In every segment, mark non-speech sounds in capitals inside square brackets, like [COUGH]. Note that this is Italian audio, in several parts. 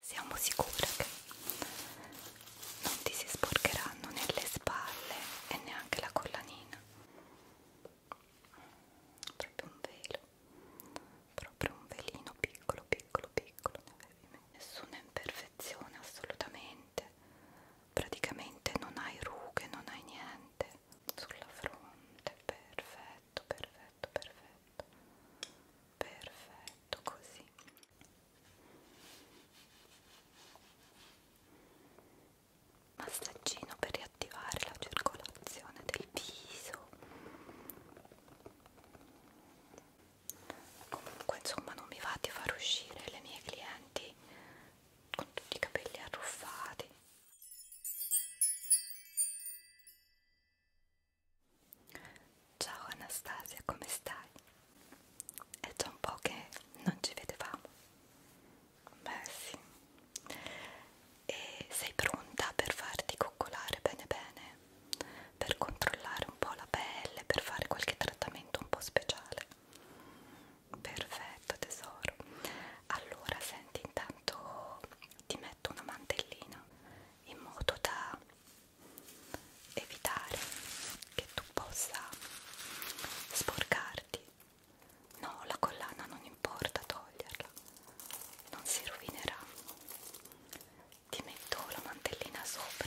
siamo sicure che non ti si sporcheranno né le spalle e neanche la collanina proprio un velo proprio un velino piccolo piccolo piccolo nessuna imperfezione assolutamente praticamente non hai rughe non hai niente sulla fronte perfetto perfetto perfetto perfetto così massaggino per riattivare la circolazione del viso comunque insomma non mi va di far uscire le mie clienti con tutti i capelli arruffati Ciao Anastasia, come stai? È già un po' che non ci vedevamo. Beh sì. E sei pronta per farti coccolare bene bene? Per controllare un po' la pelle, per fare qualche trattamento un po' speciale? Perfetto tesoro. Allora senti intanto ti metto una mantellina in modo da evitare che tu possa sporcarti no la collana non importa toglierla non si rovinerà ti metto la mantellina sopra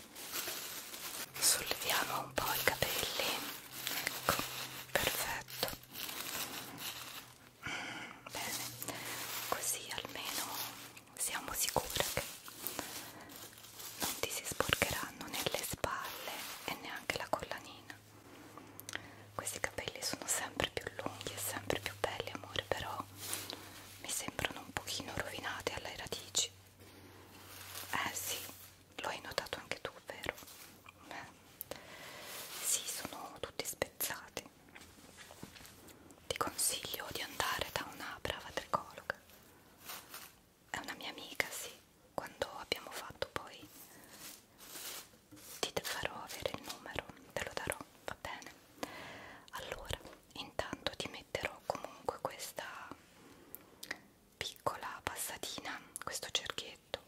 solleviamo un po' i capelli ecco perfetto bene così almeno siamo sicuri che non ti si sporcheranno nelle spalle e neanche la collanina questi capelli sono sempre più lunghi e sempre più belli amore però mi sembrano un pochino rovinati alle radici eh sì, lo hai notato anche tu, vero? Beh. Sì, sono tutti spezzati. Ti consiglio di andare da una brava tricologa. È una mia amica, sì. Quando abbiamo fatto poi ti farò avere il numero, te lo darò, va bene? Allora, intanto ti metterò comunque questa piccola passatina, questo cerchietto,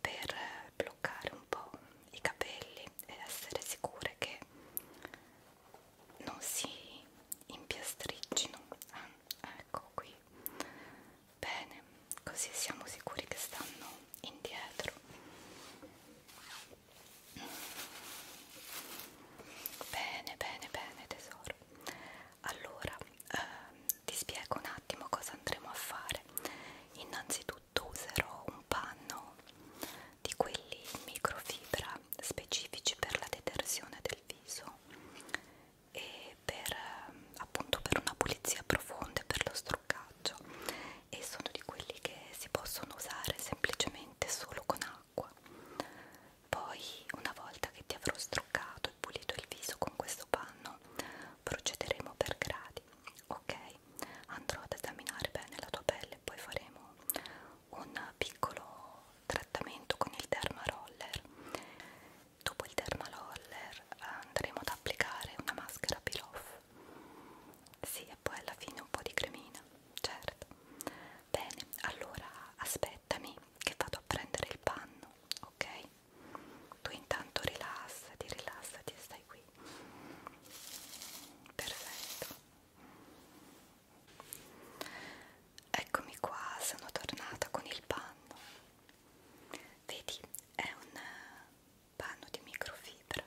per bloccare un po' i capelli ed essere sicure che non si impiastriccino. Ah, ecco qui. Bene, così siamo sicuri che stanno indietro. Bene, bene, bene tesoro allora ehm, ti spiego un attimo cosa andremo a fare innanzitutto userò un panno di quelli in microfibra specifici per la detersione del viso e per ehm, appunto per una pulizia profonda e per lo struccaggio e sono di quelli che si possono usare semplicemente solo con acqua poi, una volta che ti avrò struccato e pulito il viso con questo panno, procederemo per gradi, ok? Andrò ad esaminare bene la tua pelle e poi faremo un piccolo trattamento con il derma roller. Dopo il derma roller eh, andremo ad applicare una maschera peel off. Sì, e poi alla fine un po' di cremina, certo. Bene, allora aspettami che vado a prendere il panno, ok? Tu intanto rilassati, rilassati e stai qui. Perfetto. Eccomi qua, sono tornata con il panno. Vedi, è un panno di microfibra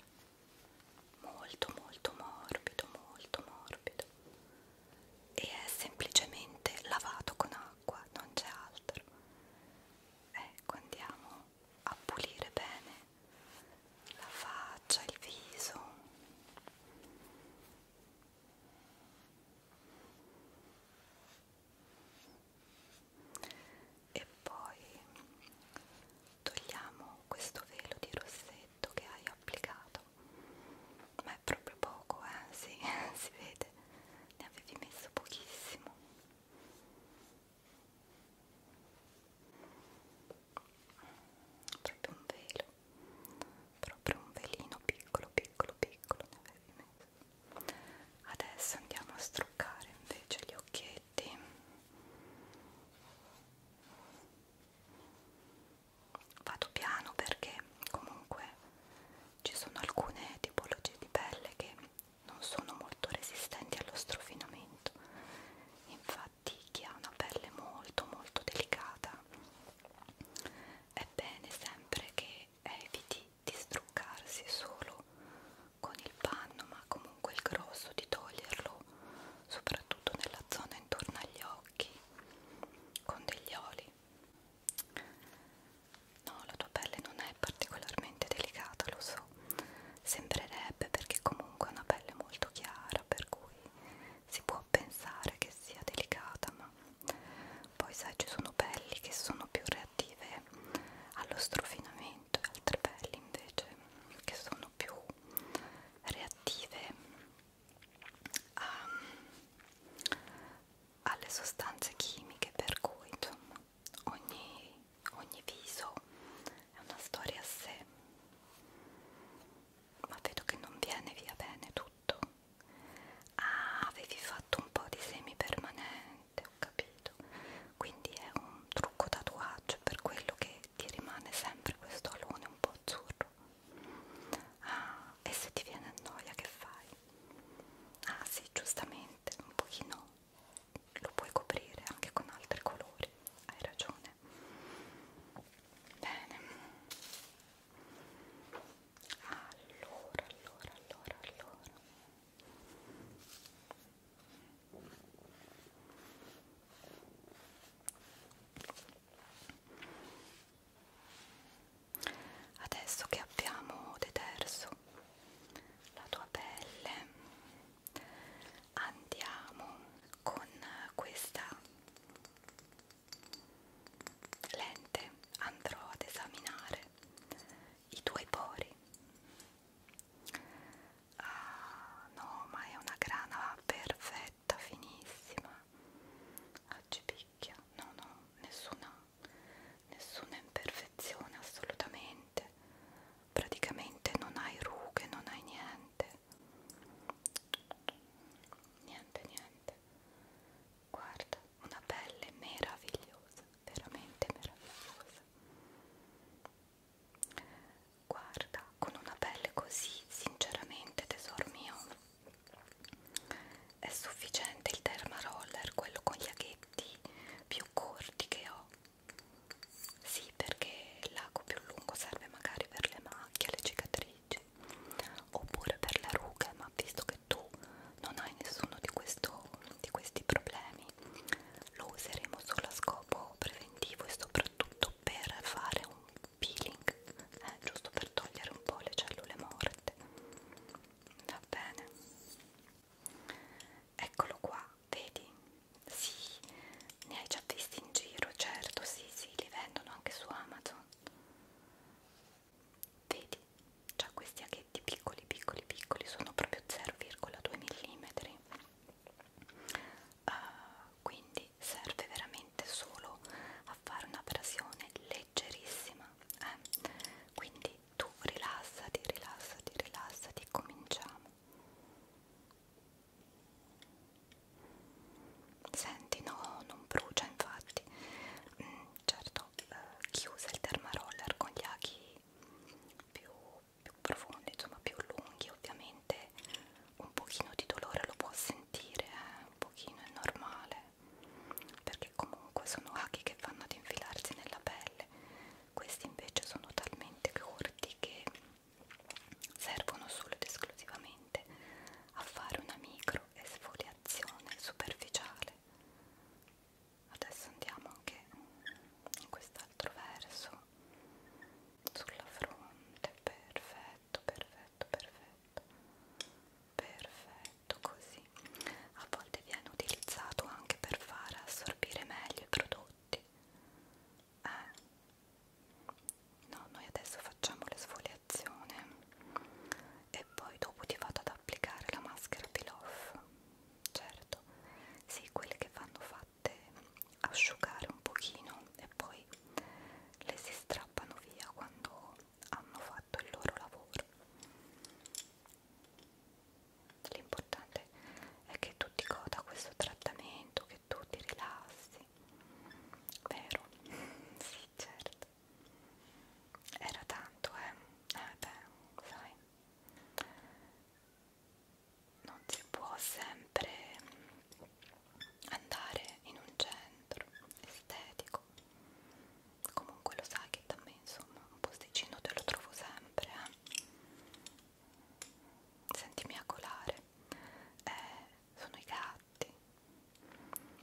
molto molto morbido molto morbido e è semplicemente lavato con acqua, non c'è altro. Ecco, andiamo a pulire bene la faccia, il viso. E poi togliamo questo velo di rossetto che hai applicato ma è proprio poco eh [LAUGHS] sì, si vede ne avevi messo pochissimo proprio un velo proprio un velino piccolo piccolo piccolo ne avevi messo adesso andiamo a struccare invece gli occhietti vado piano perché comunque ci sono alcune tipologie di pelle che non sono molto resistenti allo strofinamento infatti chi ha una pelle molto molto delicata è bene sempre che eviti di struccarsi solo con il panno ma comunque il grosso di toglierlo soprattutto nella zona intorno agli occhi con degli oli No, la tua pelle non è particolarmente delicata, lo so. Sembrerebbe perché comunque è una pelle molto chiara, per cui si può pensare che sia delicata, ma poi sai ci sono pelli che sono più reattive allo strofinamento e altre pelli invece che sono più reattive a, ehm, alle sostanze chimiche per cui insomma, ogni, ogni viso è una storia a sé ma vedo che non viene via bene tutto ah avevi fatto un po' di semi permanente ho capito quindi è un trucco tatuaggio per quello che ti rimane sempre questo alone un po' azzurro. Ah, e se ti viene noia che fai? Ah sì, giustamente, un pochino lo puoi coprire anche con altri colori, hai ragione. Bene. Allora, allora, allora, allora. Adesso che abbiamo deterso la tua pelle, andiamo con questa lente, andrò ad esaminare i tuoi pori. Ah, no, ma è una grana perfetta, finissima. Oggi ricchia, no no, nessuna, nessuna imperfezione assolutamente, praticamente non hai rughe, non hai niente, niente niente, guarda, una pelle meravigliosa, veramente meravigliosa. Guarda, con una pelle così, sinceramente tesoro mio, è sufficiente il termaroller, quello con gli aghetti più corti che ho sì perché l'ago più lungo serve magari per le macchie, le cicatrici oppure per le rughe ma visto che tu non hai nessuno di, questo, di questi problemi lo useremo solo a scopo preventivo e soprattutto per fare un peeling eh, giusto per togliere un po' le cellule morte va bene eccolo qua vedi sì ne hai già visti in giro certo sì sì li vendono anche su amazon vedi c'ha questi aghetti piccoli piccoli piccoli sono proprio 0,2 mm uh, quindi serve veramente solo a fare un'abrasione leggera leggerissima eh? quindi tu rilassati rilassati rilassati cominciamo senti no non brucia infatti mm, certo eh, chiusa il termaroller con gli aghi più, più profondi insomma più lunghi ovviamente un pochino di dolore lo può sentire eh? un pochino è normale perché comunque sono aghi che vanno ad infilarsi nella pelle questi invece sono talmente corti che servono solo ed esclusivamente a fare una micro esfoliazione superficiale adesso andiamo anche in quest'altro verso sulla fronte perfetto perfetto perfetto, perfetto, perfetto così. A volte viene utilizzato anche per far assorbire meglio i prodotti. Eh. No, noi adesso facciamo l'esfoliazione e poi dopo ti vado ad applicare la maschera peel off. Certo, sì, quelle che vanno fatte asciugare un pochino e poi le si strappano via quando hanno fatto il loro lavoro. L'importante è che tu ti goda questo trattamento, che tu ti rilassi, vero? [LAUGHS] sì, certo. Era tanto, eh? Eh beh, sai, non si può sempre andare in un centro estetico comunque lo sai che da me insomma un posticino te lo trovo sempre eh. senti miagolare eh, sono i gatti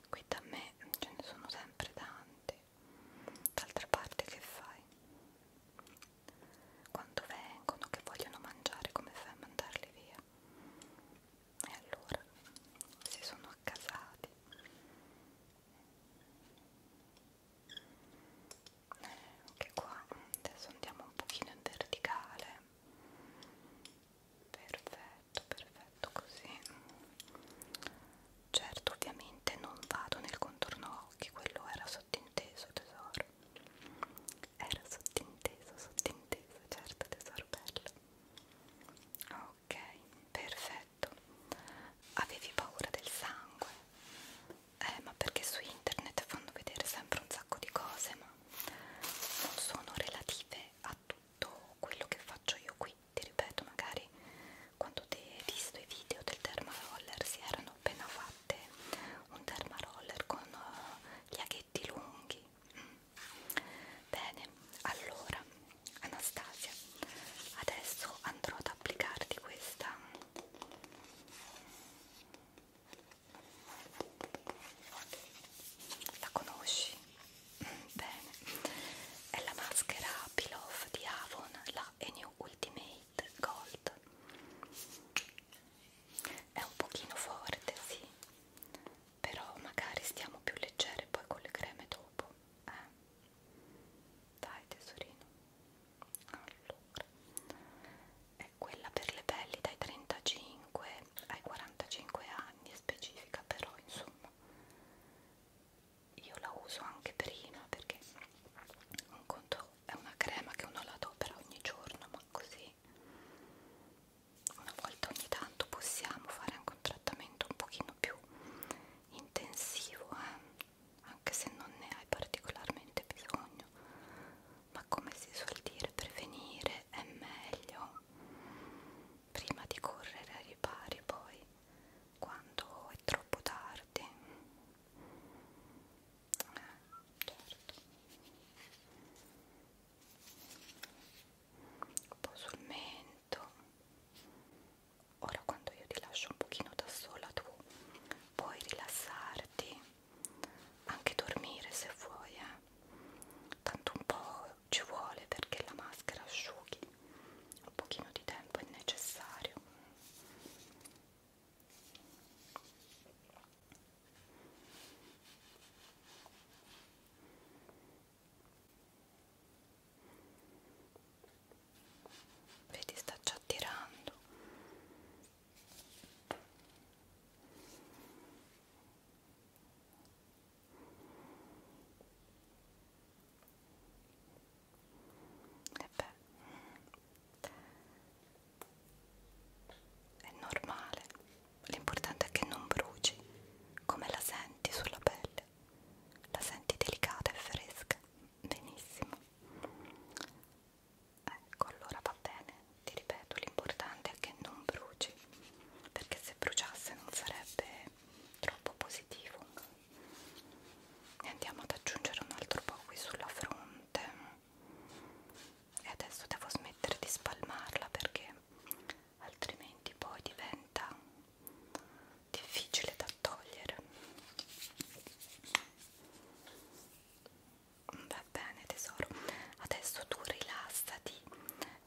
qui da me ce ne sono sempre tanti d'altra parte che fai? quando vengono che vogliono mangiare come fai a mandarli via? e allora si sono accasati eh, anche qua adesso andiamo un pochino in verticale perfetto perfetto così certo ovviamente non vado nel contorno occhi quello era sottinteso tesoro era sottinteso sottinteso certo tesoro bello ok, perfetto avevi paura del sangue? eh ma perché su internet fanno vedere sempre un sacco di cose ma non sono relative a tutto quello che faccio io qui ti ripeto magari quando ti hai visto i video del dermaroller si erano appena fatte un dermaroller con uh, gli aghetti lunghi mm. Bene, allora Anastasia, adesso andrò ad applicarti questa la conosci? Bene, è la maschera Peel Off di Avon, la New Ultimate Gold. È un pochino forte, sì, però magari stiamo più leggere poi con le creme dopo eh? dai tesorino allora è quella per le pelli dai 35 ai 45 anni è specifica però insomma io la uso anche prima perché un conto è una crema che uno la adopera ogni giorno ma così una volta ogni tanto possiamo fare anche un trattamento un pochino più più intensivo eh? anche se non ne hai particolarmente bisogno ma come si suol dire prevenire è meglio prima di correre ai ripari poi quando è troppo tardi eh, certo un po' sul mento momento ora quando io ti lascio un pochino da sola tu puoi rilassarti anche dormire se vuoi eh. tanto un po' ci vuole perché la maschera asciughi un pochino di tempo è necessario Vedi, sta già tirando. E beh, è normale. L'importante è che non bruci, come la senti sulla pelle. La senti delicata e fresca? Benissimo. Ecco, allora va bene. Ti ripeto, l'importante è che non bruci, perché se bruciasse non sarebbe troppo positivo. Ne andiamo ad aggiungere un altro po' qui sulla fronte. E adesso devo smettere di spalmarla perché altrimenti poi diventa difficile da togliere va bene tesoro adesso tu rilassati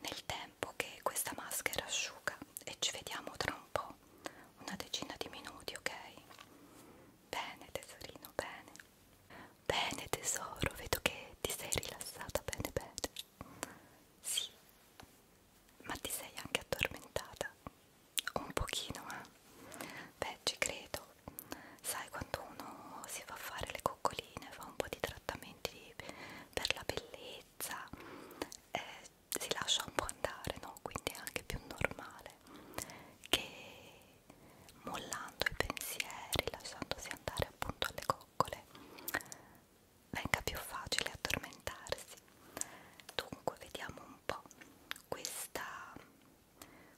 nel tempo che questa maschera asciuga e ci vediamo tra un po' una decina di minuti ok bene tesorino bene bene tesoro vedo che ti sei rilassata bene bene sì ma ti sei anche addormentata? Un pochino, eh? Beh, ci credo. Sai quando uno si fa fare le coccoline, fa un po' di trattamenti per la bellezza, eh, si lascia un po' andare, no? Quindi è anche più normale che mollando i pensieri, lasciandosi andare appunto alle coccole, venga più facile addormentarsi. Dunque vediamo un po' questa,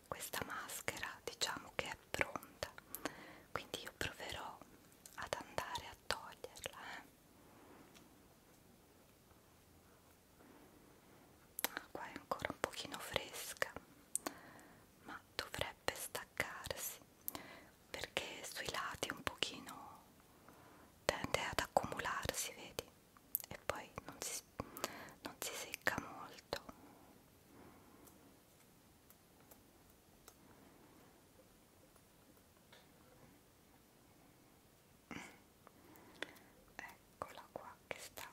questa maschera, diciamo che è pronta, quindi io proverò ad andare a toglierla. Eh. Ah, qua è ancora un pochino fresca, ma dovrebbe staccarsi perché sui lati un pochino tende ad accumularsi vedi e poi non si, non si secca molto eccola qua che sta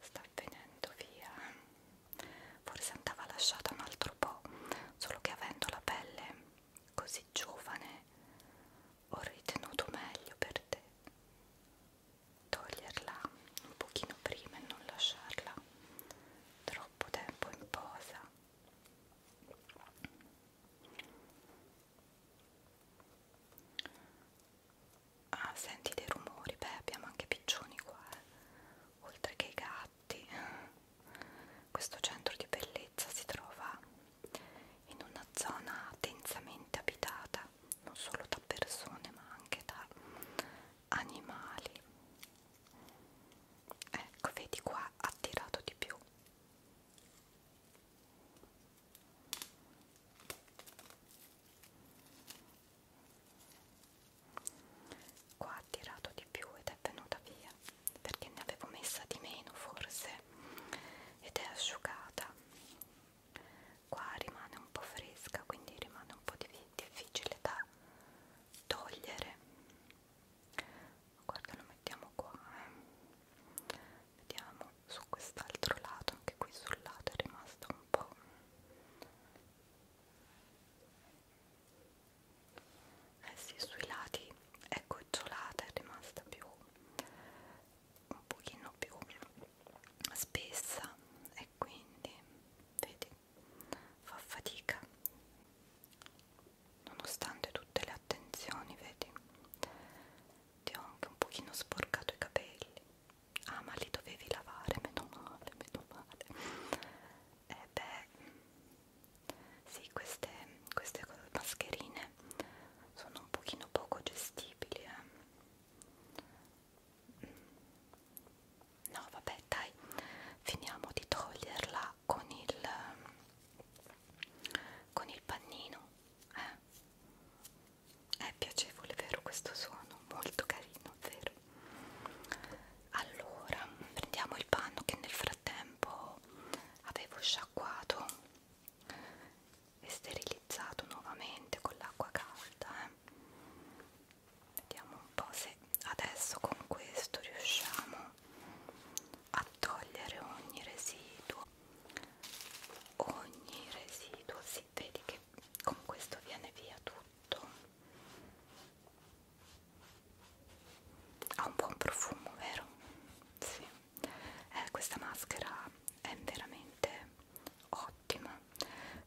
sta venendo via forse andava lasciata un altro po' solo che avendo la pelle così giovane ho ritenuto meglio per te toglierla un pochino prima e non lasciarla troppo tempo in posa ah senti dei rumori beh abbiamo anche piccioni qua eh. oltre che i gatti infatti questo centro di bellezza si trova in una zona densamente abitata non solo da persone ma anche da animali ecco vedi qua ha tirato di più qua ha tirato di più ed è venuta via perché ne avevo messa di meno forse ed è asciugata qua rimane un po' fresca quindi rimane un po' difficile da togliere guarda lo mettiamo qua eh. vediamo su quest'altro lato anche qui sul lato è rimasto un po' eh sì, sui lati è ecco, gocciolata, è rimasta più un pochino più spessa e quindi vedi fa fatica nonostante tutte le attenzioni vedi ti ho anche un pochino sporcato i capelli ah ma li dovevi lavare meno male meno male e eh, beh sì, queste, queste mascherine sono un pochino poco gestibili. Eh. No, vabbè, dai, finiamo di toglierla con il con il pannino. Eh. È piacevole, vero? Questo suono molto carino, vero? allora prendiamo il panno che nel frattempo avevo sciacquato e sterilizzato nuovamente con l'acqua calda eh. vediamo un po' se adesso con questo riusciamo a togliere ogni residuo ogni residuo si vede che con questo viene via tutto ha un buon profumo vero? Sì. Eh, questa maschera è veramente ottima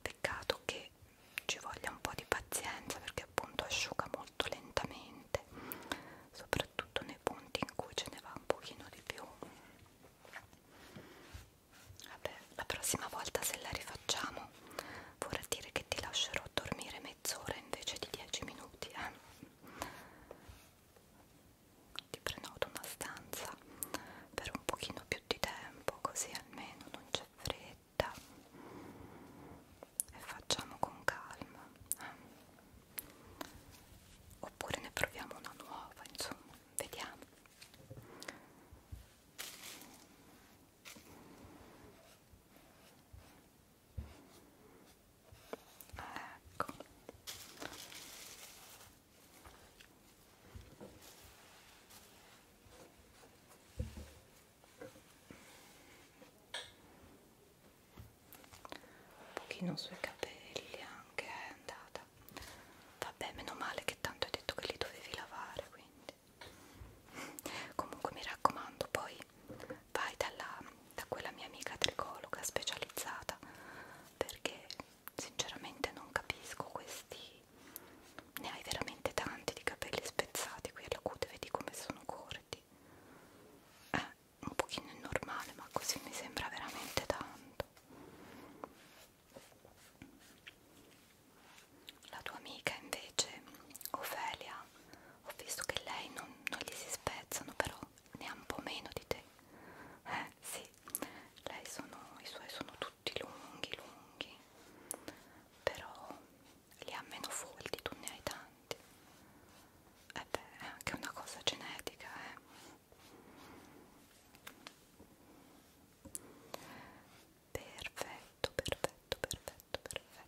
peccato che ci voglia un po' di pazienza perché appunto asciuga molto lentamente soprattutto nei punti in cui ce ne va un pochino di più vabbè la prossima volta se la rifacciamo vorrà dire che ti lascerò dormire mezz'ora invece di 10 minuti eh? ti prenoto una stanza per un pochino più di tempo così almeno non c'è fretta e facciamo con calma eh? oppure ne proviamo una nuova insomma vediamo ecco un pochino sui capelli anche è andata vabbè meno male che tanto hai detto che li dovevi lavare quindi comunque mi raccomando poi poi vai dalla, da quella mia amica tricologa specializzata perché sinceramente non capisco questi ne hai veramente tanti di capelli spezzati qui alla cute vedi come sono corti è eh, un pochino normale ma così mi sembra veramente tanto la tua amica invece Ofelia ho visto che lei non, non gli si spezzano però ne ha un po' meno di te eh sì lei sono i suoi sono tutti lunghi lunghi però li ha meno folti tu ne hai tanti e eh beh è anche una cosa genetica eh perfetto perfetto perfetto perfetto perfetto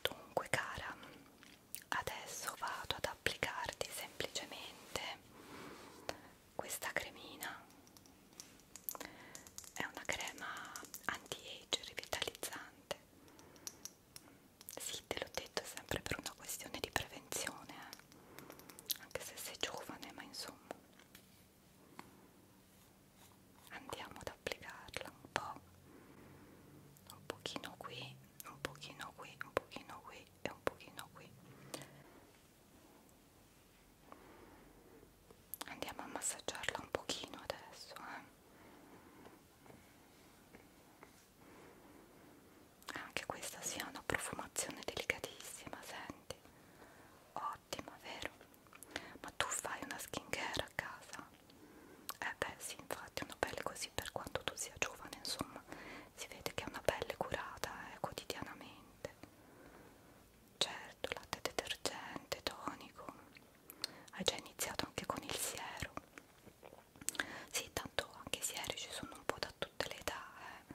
dunque cara adesso vado ad applicarti semplicemente questa cremina è una crema anti-age rivitalizzante sì te l'ho detto è sempre per una questione di prevenzione eh. anche se sei giovane ma insomma andiamo ad applicarla un po' un pochino qui un pochino qui un pochino qui e un pochino qui andiamo a massaggiarla un pochino adesso eh? anche questa sia una profumazione delicatissima senti ottima vero ma tu fai una skincare portare a casa eh beh sì infatti una pelle così per quanto tu sia giovane insomma si vede che è una pelle curata eh, quotidianamente certo latte detergente tonico hai già iniziato anche con il siero sì tanto anche i sieri ci sono un po' da tutte le età eh.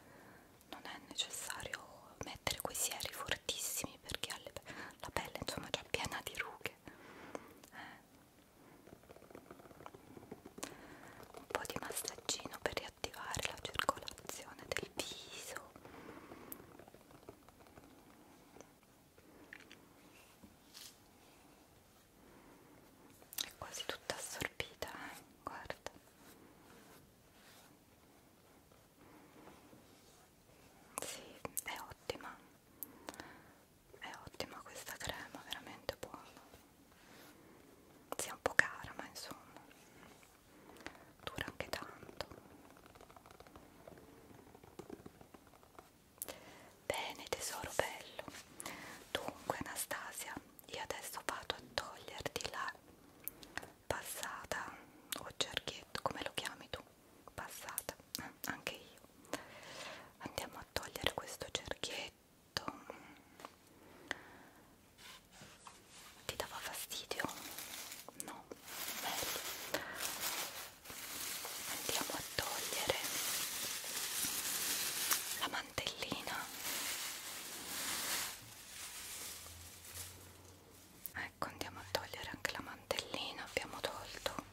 non è necessario mettere quei sieri fortissimi perché la pelle insomma è già piena di rughe perché eh. un po' di massaggino per riattivare la circolazione del viso è quasi tutta assorbita eh? guarda sì, è ottima è ottima questa crema, veramente buona sia un po' cara ma insomma dura anche tanto bene tesoro bello dunque Anastasia io adesso vado a toglierti la passata o cerchietto come lo chiami tu passata anche io andiamo a togliere questo cerchietto ti dava fastidio? no? bello andiamo a togliere la mantellina ecco andiamo a togliere anche la mantellina abbiamo tolto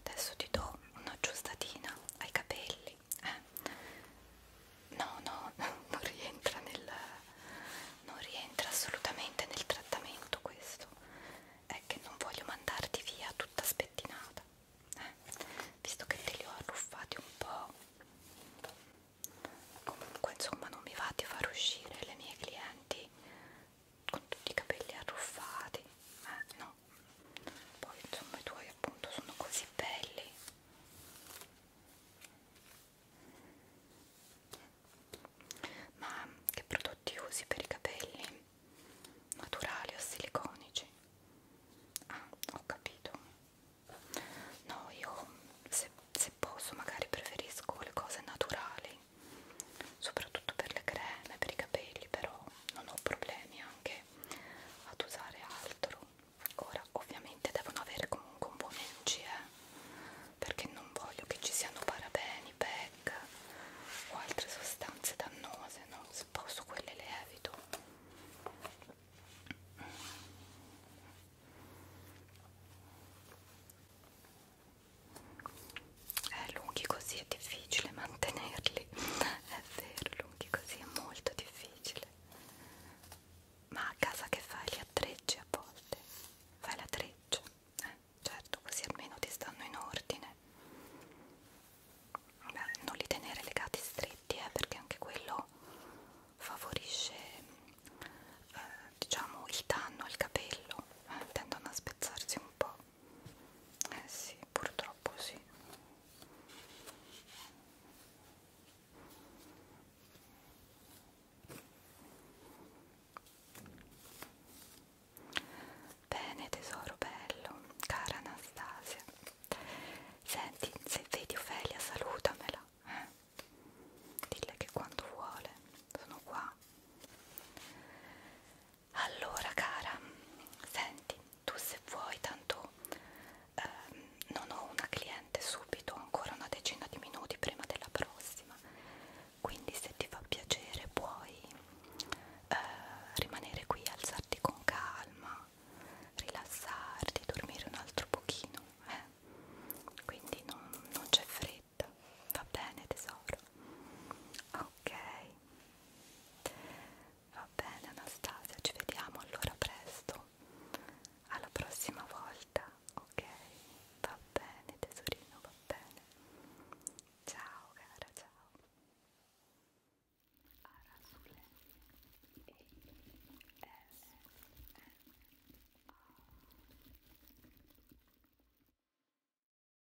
adesso ti do una giustatina ai capelli eh? no no [LAUGHS] non rientra nel non rientra assolutamente nel trattamento questo è che non voglio mandarti via tutta spettinata eh? visto che te li ho arruffati un po' comunque insomma non mi va di far uscire le mie clienti con tutti i capelli arruffati eh, no poi insomma i tuoi appunto sono così belli ma che prodotti usi per i capelli? naturali o siliconici? ah ho capito no io se, se posso magari preferisco le cose naturali naturali soprattutto per le creme per i capelli però non ho problemi anche ad usare altro ora ovviamente devono avere comunque un buon NCE eh, perché non voglio che ci siano parabeni, PEG o altre sostanze dannose no? se posso quelle le evito eh, lunghi così è difficile mantenerli [LAUGHS] è vero lunghi così è molto difficile ma a casa che fai li attrecci a volte fai la treccia eh, certo così almeno ti stanno in ordine Beh, non li tenere legati stretti eh, perché anche quello favorisce eh, diciamo il danno al capello eh, tendono a spezzarsi un po' Eh sì, purtroppo sì. Bene tesoro bello, cara Anastasia. Senti, se vedi Ofelia salutamela. Eh? Dille che quando vuole sono qua. Allora cara, senti, tu se vuoi tanto ehm, non ho una cliente subito, ancora una decina di minuti prima della prossima, quindi se ti fa piacere puoi eh, rimanere qui, alzarti con calma, rilassarti, dormire un altro pochino, eh? quindi non, non c'è fretta, va bene tesoro. Ok, Va bene Anastasia, ci vediamo allora presto, alla prossima volta, ok? Va bene tesorino, va bene. Ciao cara, ciao. Arasule e